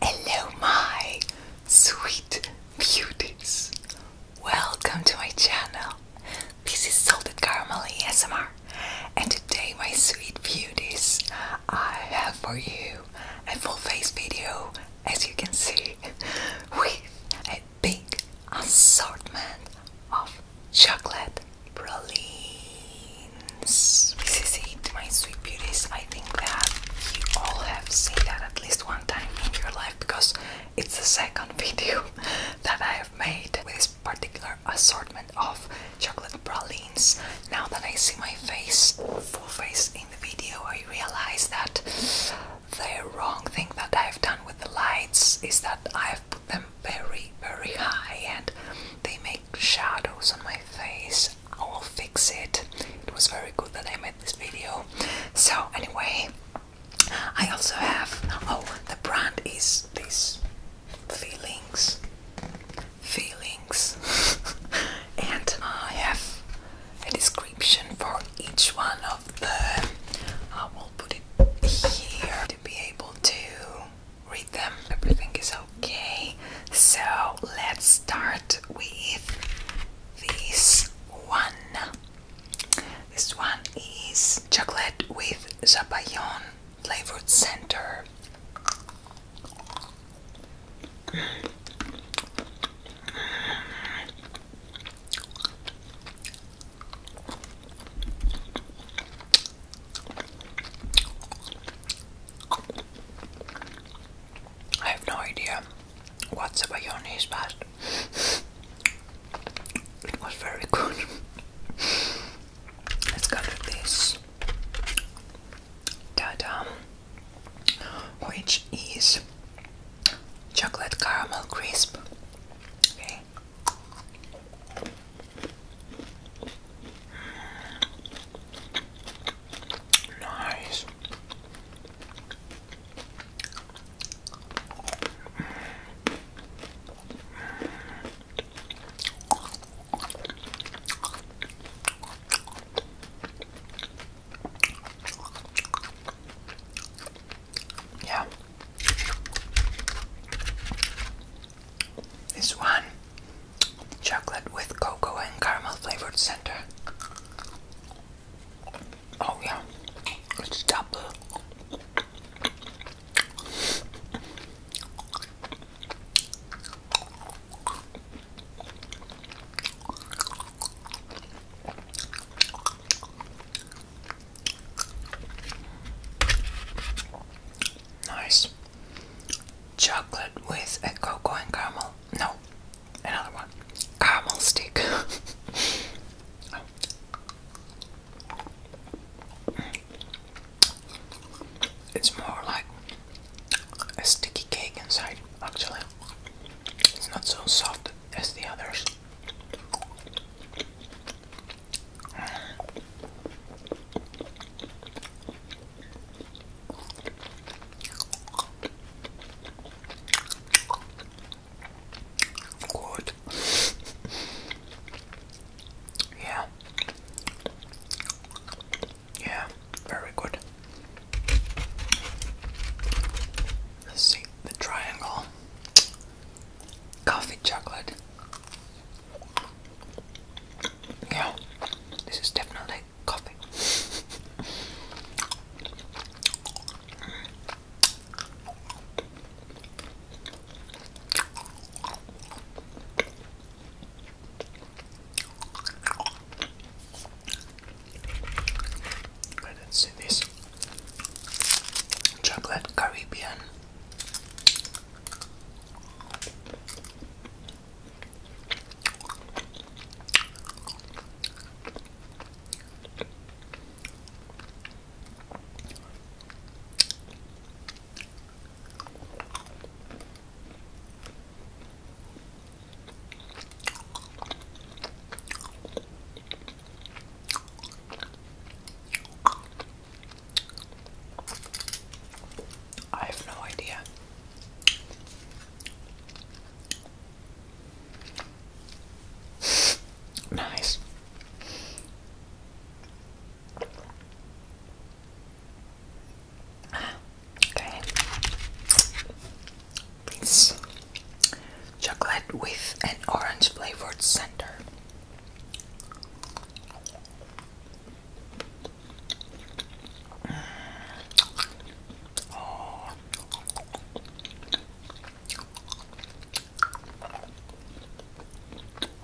Hello, my sweet beauties. Welcome to my channel. This is Salted Caramel S M R, and today, my sweet beauties, I have for you a full face video, as you can see, with big assortment of chocolate pralines. This is it, my sweet beauties. I think that you all have seen that at least one time in your life because it's the second video that I have made with this particular assortment of chocolate pralines. Now that I see my face, full face in the video, I realize that the wrong thing that I've done with the lights is that I've put them very, very high and they make shadows on my face. I will fix it. It was very good that I made this video. So, anyway, I also have. Oh, the brand is these Feelings. Feelings. and I have a description for each one of. I will put it here to be able to read them. Everything is okay. So let's start with this one. This one is chocolate with zabayon flavored center. I have no idea what's about your knees, but it was very good. Let's go this. Ta-da! Which is chocolate caramel crisp. Okay. Nice. Yeah. This one chocolate with cocoa and caramel flavored center. Oh, yeah, it's double. Nice. Chocolate with a cocoa and caramel. No, another one. Caramel stick. Oh. It's more like a sticky cake inside, actually. It's not so soft as the others. Good. yeah. Yeah, very good see the triangle coffee chocolate. Yeah, this is definitely coffee. I didn't see this. Chocolate Caribbean. I have no idea. nice. Okay. It's chocolate with an orange flavored center. Oh,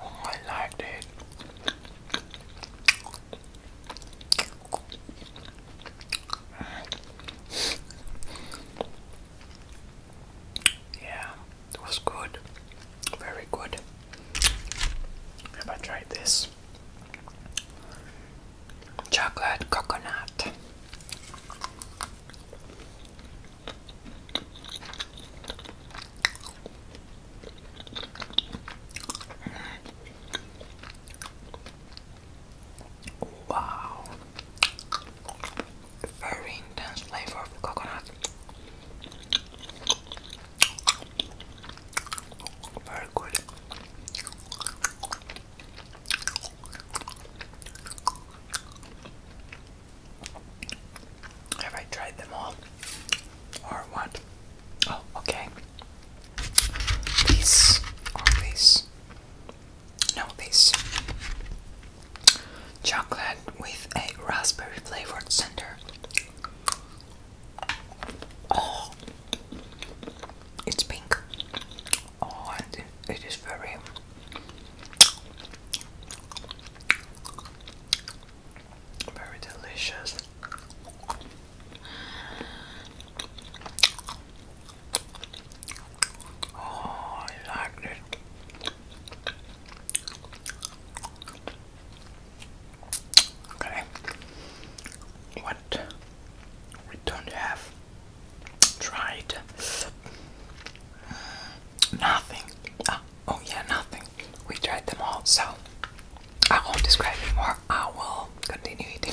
I liked it. Yeah, it was good. Very good. Have I tried this? Chocolate coconut. Wow. Very intense flavor of coconut. Very good. Have I tried them all? Or what? Oh, okay. These or these no, this chocolate with a raspberry flavored center. Oh, it's pink. Oh, and it is very. Very delicious. Oh, I like this. Okay, what we don't have tried mm, nothing. Ah, oh yeah, nothing. We tried them all, so I won't describe anymore. I will continue eating.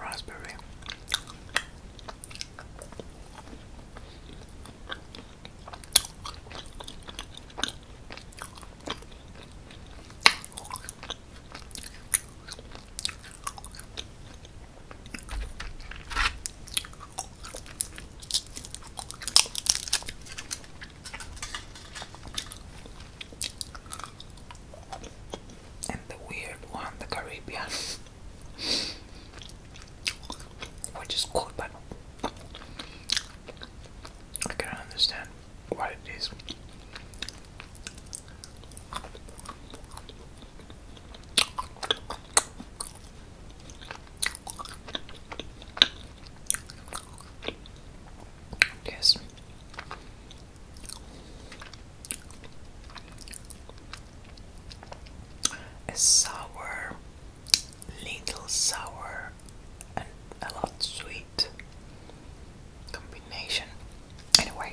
Raspberry. And the weird one, the Caribbean. which is good, but I can understand what it is. Yes. sour little sour and a lot sweet combination. Anyway.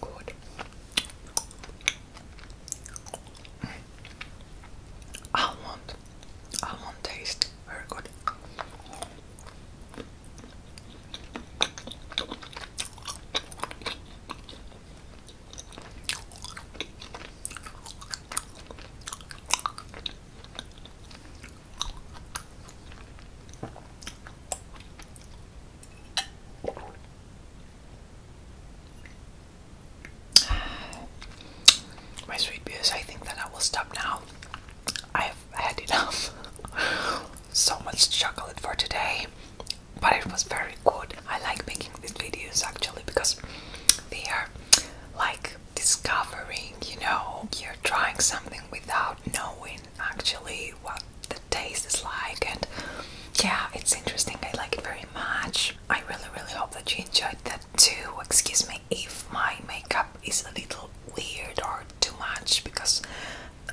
Good. Almond. Almond taste. Very good. My sweet I think that I will stop now. I have had enough. so much chocolate for today, but it was very good. I like making these videos actually because they are like discovering, you know, you're trying something without knowing actually what the taste is like and yeah it's interesting I like it very much I really really hope that you enjoyed that too excuse me if my makeup is a little weird or too much because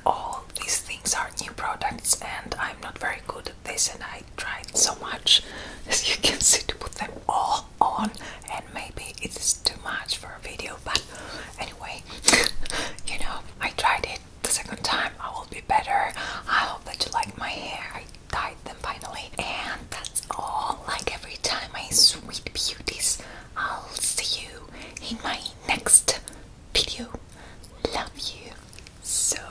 all these things are new products and I'm not very good at this and I tried so much as you can see to put them all on and maybe it is too much for a video but anyway, you know, I tried it the second time. I will be better. I hope that you like my hair. I dyed them finally, and that's all. Like every time, my sweet beauties, I'll see you in my next video. Love you so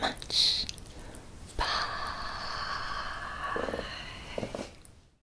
much. Bye.